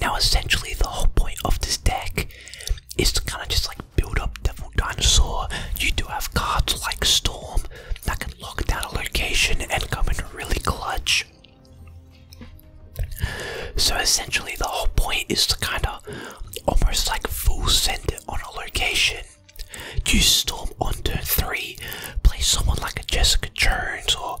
Now, essentially, the whole point of this deck is to kind of just like build up Devil Dinosaur. You do have cards like Storm that can lock down a location and come in really clutch. So, essentially, the whole point is to kind of almost like full send on a location. You Storm on turn 3, play someone like a Jessica Jones or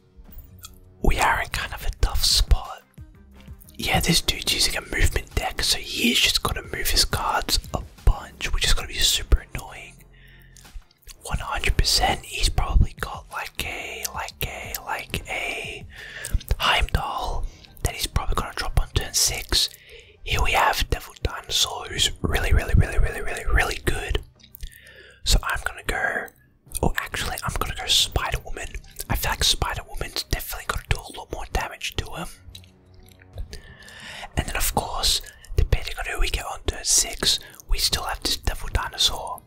we are in kind of a tough spot. Yeah, this dude's using a movement deck, so he's just gonna move his cards a bunch, which is gonna be super annoying. 100%, he's probably got like a, like a, like a Heimdall that he's probably gonna drop on turn 6. Here we have Devil Dinosaur, who's really, really, really, really, really, really good. So I'm gonna go Oh, actually, I'm gonna go Spider Woman. I feel like Spider Woman's definitely gonna do a lot more damage to him. And then, of course, depending on who we get on turn 6, we still have this Devil Dinosaur.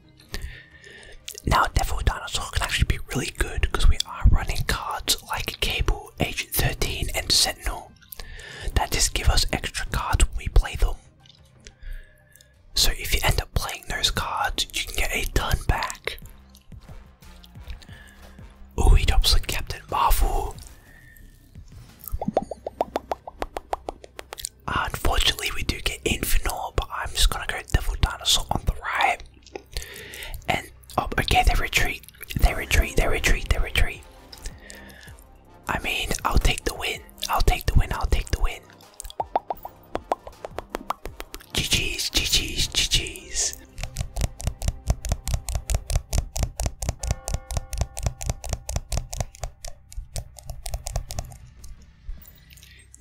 Now, Devil Dinosaur can actually be really good because we are running cards like Cable, Agent 13, and Sentinel that just give us extra cards when we play them. So if you end up playing those cards, you can get a ton back. Ooh, he drops like Captain Marvel. unfortunately, we do get Infinor, but I'm just gonna go Devil Dinosaur on the right. And oh, okay, they retreat. They retreat. They retreat. They retreat. I mean, I'll take the win. I'll take the win. I'll take the win. GG's, GG's, GG's.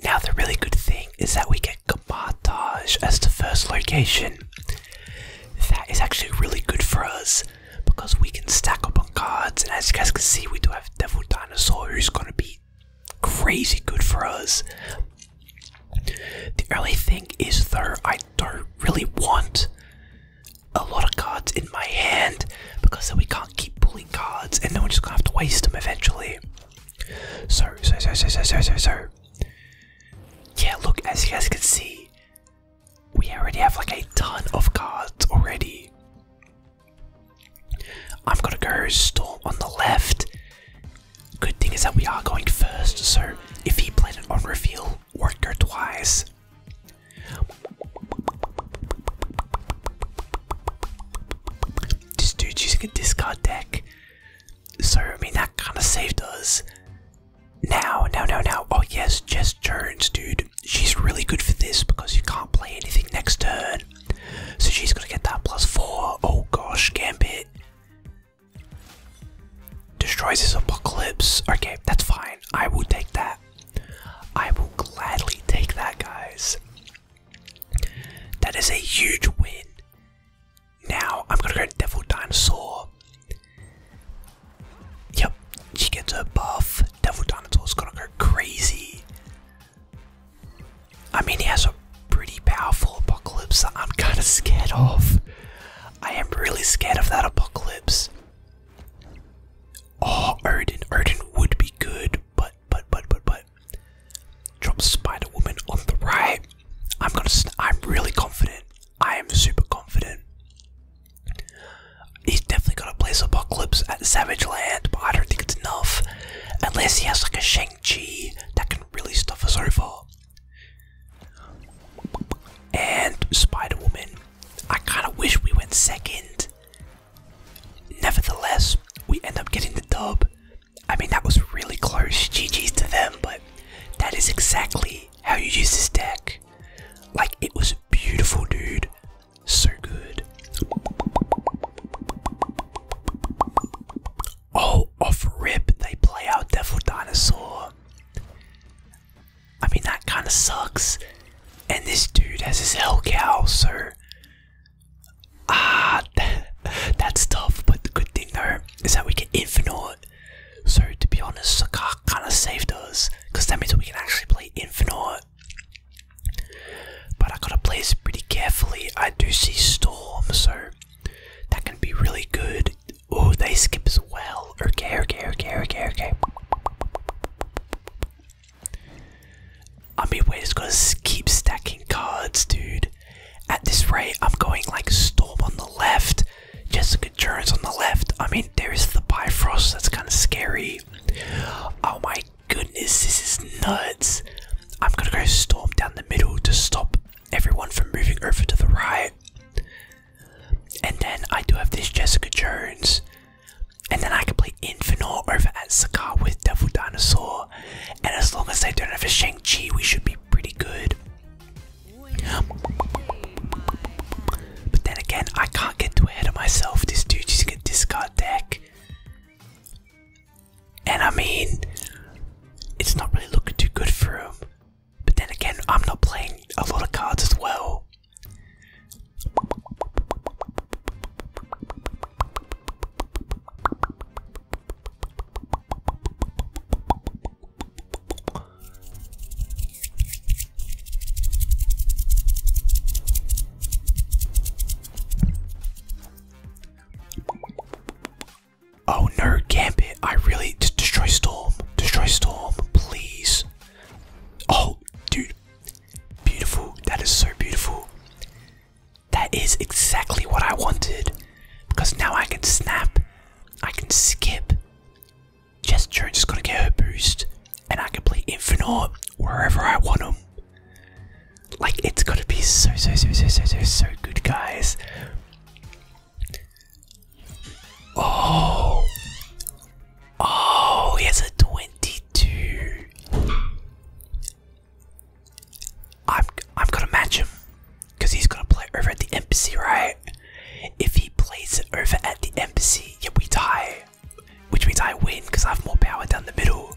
Now, the really good thing is that we get Kabatage as the first location. That is actually really good for us because we can stack up on cards, and as you guys can see, we do have Devil Dinosaur, who's going to beat? crazy good for us. The only thing is though, I don't really want a lot of cards in my hand because then we can't keep pulling cards and then we're just gonna have to waste them eventually. So, so, so, so, so, so, so, so. Yeah, look, as you guys can see, we already have like a ton of cards already. I'm gonna go storm on the left. Good thing is that we are going first, so if he played it on reveal, won't twice. This dude's using a discard deck. So I mean that kinda saved us. Now, now, now, now. Oh yes, Jess Jones, dude she's really good for this because you can't play anything next turn. So she's gonna get that plus four. Oh gosh, Gambit. Destroys his apocalypse. Okay, that's fine. I will take that. I will gladly take that, guys. That is a huge win. Now I'm gonna go Devil Dinosaur. Yep, she gets her buff. Devil Dinosaur's gonna go crazy. I mean, he has a pretty powerful apocalypse that I'm kind of scared of. I am really scared of that apocalypse. Oh, Odin. Odin would be good, but, but, but, but, but. Drop Spider Woman on the right. I'm gonna. I'm really confident. I am super confident. He's definitely gonna play apocalypse at Savage Land, but I don't think it's enough. Unless he has like a Shang-Chi that can really stuff us over. And Spider-Woman. I kinda wish we went second. Nevertheless, we end up getting the dub. I mean that was really close. GG's to them, but that is exactly how you use this deck. Like it was beautiful dude. So good. Oh, off rip, they play out Devil Dinosaur. I mean, that kind of sucks. And this dude has his hell cow, so. Ah, that's tough, but the good thing though is that we get Infinite. So, to be honest, Sakak kind of saved us, because that means we can actually play play Infinite, but I gotta play this pretty carefully. I do see Storm, so that can be really good. Oh, they skip as well. Okay, okay, okay, okay, okay. I mean, we're just gonna keep stacking cards, dude. At this rate, I'm going like Storm on the left, Jessica Jones on the left. I mean, there's the Bifrost. That's kind of scary. Oh my goodness, this is nuts. I'm gonna go storm down the middle to stop everyone from moving over to the right. And then I do have this Jessica Jones. And then I can play Infinor over at Sakar with Devil Dinosaur. And as long as they don't have a Shang-Chi, we should be pretty good. But then again, I can't get too ahead of myself. This dude's just can discard deck. And I mean, it's not really looking too good for him. But then again, I'm not playing a lot of cards as well. Oh, nerd gambit. I really destroy storm. Destroy storm, please. Oh, dude. Beautiful. That is so beautiful. That is exactly what I wanted. Because now I can snap. I can skip. Jess Jones is going to get her boost, and I can play Infinite wherever I want them. Like, it's going to be so, so, so, so, so, so, good, guys. Oh, oh, he has a 22. I'm, I'm going to match him because he's going to play over at the embassy, right? If he plays it over at the embassy, yeah, we tie. Which means I win because I have more power down the middle.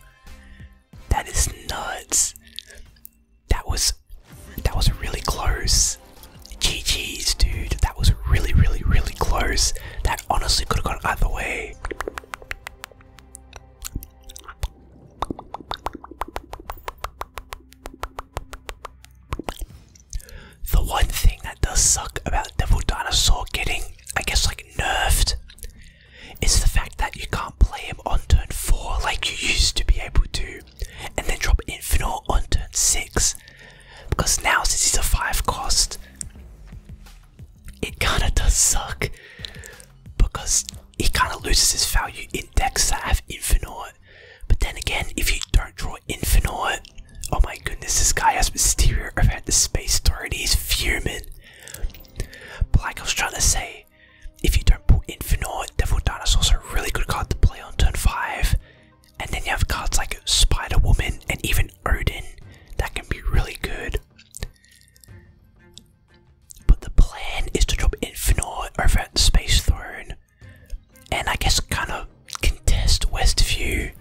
That is nuts. That was that was really close. GG's dude, that was really really really close. That honestly could have gone either way. The one thing that does suck about Devil Dinosaur getting, I guess, like nerfed is the fact that you can't play him on turn 4 like you used to be able to, and then drop Inferno on turn 6. Because now, since he's a 5 cost, it kinda does suck because he kinda loses his value in decks that have Infinite but then again, if you don't draw Infinite, oh my goodness, this guy has Mysterio. I've had the space authority, he's fuming. But like I was trying to say, if you don't pull Infinite, Devil Dinosaur's a really good card to play on turn 5. And then you have cards like Spider Woman and even Odin that can be really good. But the plan is to drop Infinite over at Space Throne and I guess kind of contest Westview.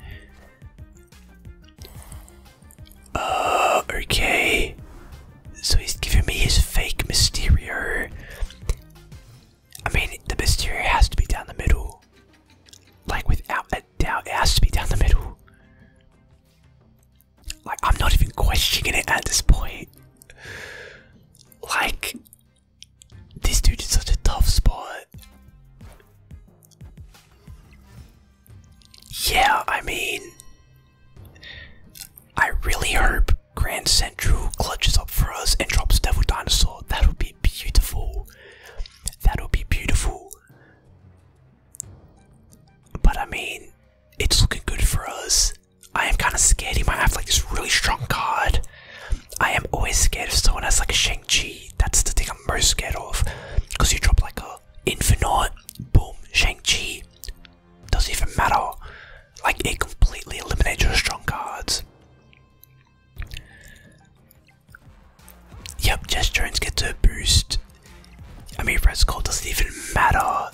Uh, okay. So he's giving me his fake Mysterio. I mean, the Mysterio has to be down the middle. Like, without a doubt, it has to be down the middle. Like, I'm not even questioning it at this point. Like, this dude is such a tough spot. Yeah, I mean, I really hope Grand Central clutches up for us and drops Devil Dinosaur. That would be beautiful. That would be beautiful. But I mean, it's looking good for us. I am kind of scared. He might have like this really strong card. I am always scared if someone has like a Shang-Chi. That's the thing I'm most scared of. Because you drop like a Infinite, boom, Shang-Chi. Doesn't even matter. Like it completely eliminates your strong cards. Yep, Jess Jones gets a boost. I mean, Red Skull doesn't even matter.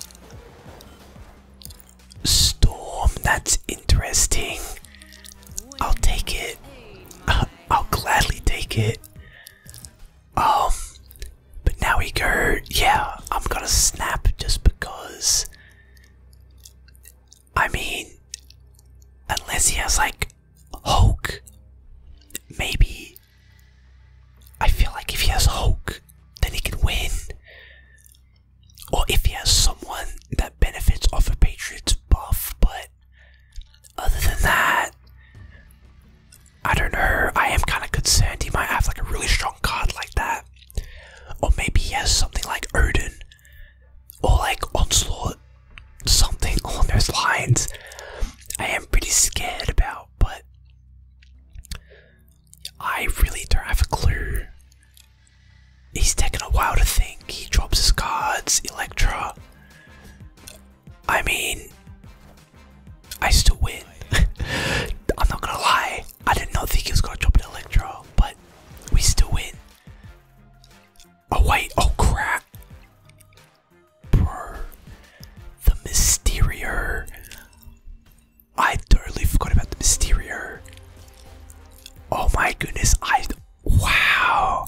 Storm, that's interesting. I'll take it. I'll gladly take it. Um, but now we go. Yeah, I'm gonna snap just because. I mean, unless he has like Hulk, maybe. I feel like if he has Hulk, then he can win or if he has someone that benefits off a Patriots buff, but other than that, I don't know. I am kind of concerned he might have like a really strong card like that, or maybe he has something like Odin or like Onslaught, something on those lines. I am pretty scared about, but I really don't have a clue. He's taken a while to think. He drops his cards, Electra. I mean, I still win. I'm not gonna lie. I did not think he was gonna drop an Electra, but we still win. Oh wait! Oh crap! the Mysterio. I totally forgot about the Mysterio. Oh my goodness, I. Wow!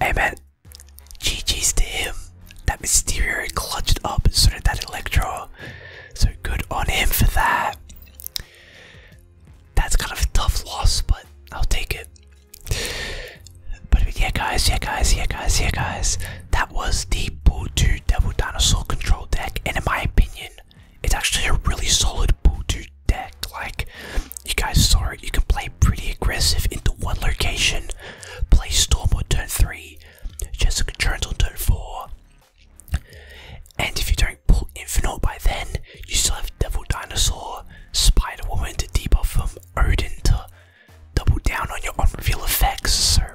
Hey man, GG's to him. That Mysterio clutched up, so of that Electro. So good on him for that. That's kind of a tough loss, but I'll take it. But yeah, guys, yeah, guys, yeah, guys, yeah, guys that was the Boo2 Devil Dinosaur control deck, and in my opinion, it's actually a really solid Boo2 deck. Like, you guys saw it, you can play pretty aggressive into one location, play Storm on turn 3, Jessica turns on turn 4, and if you don't pull Infinite by then, you still have Devil Dinosaur, Spider Woman to debuff from Odin to double down on your on effects. sir.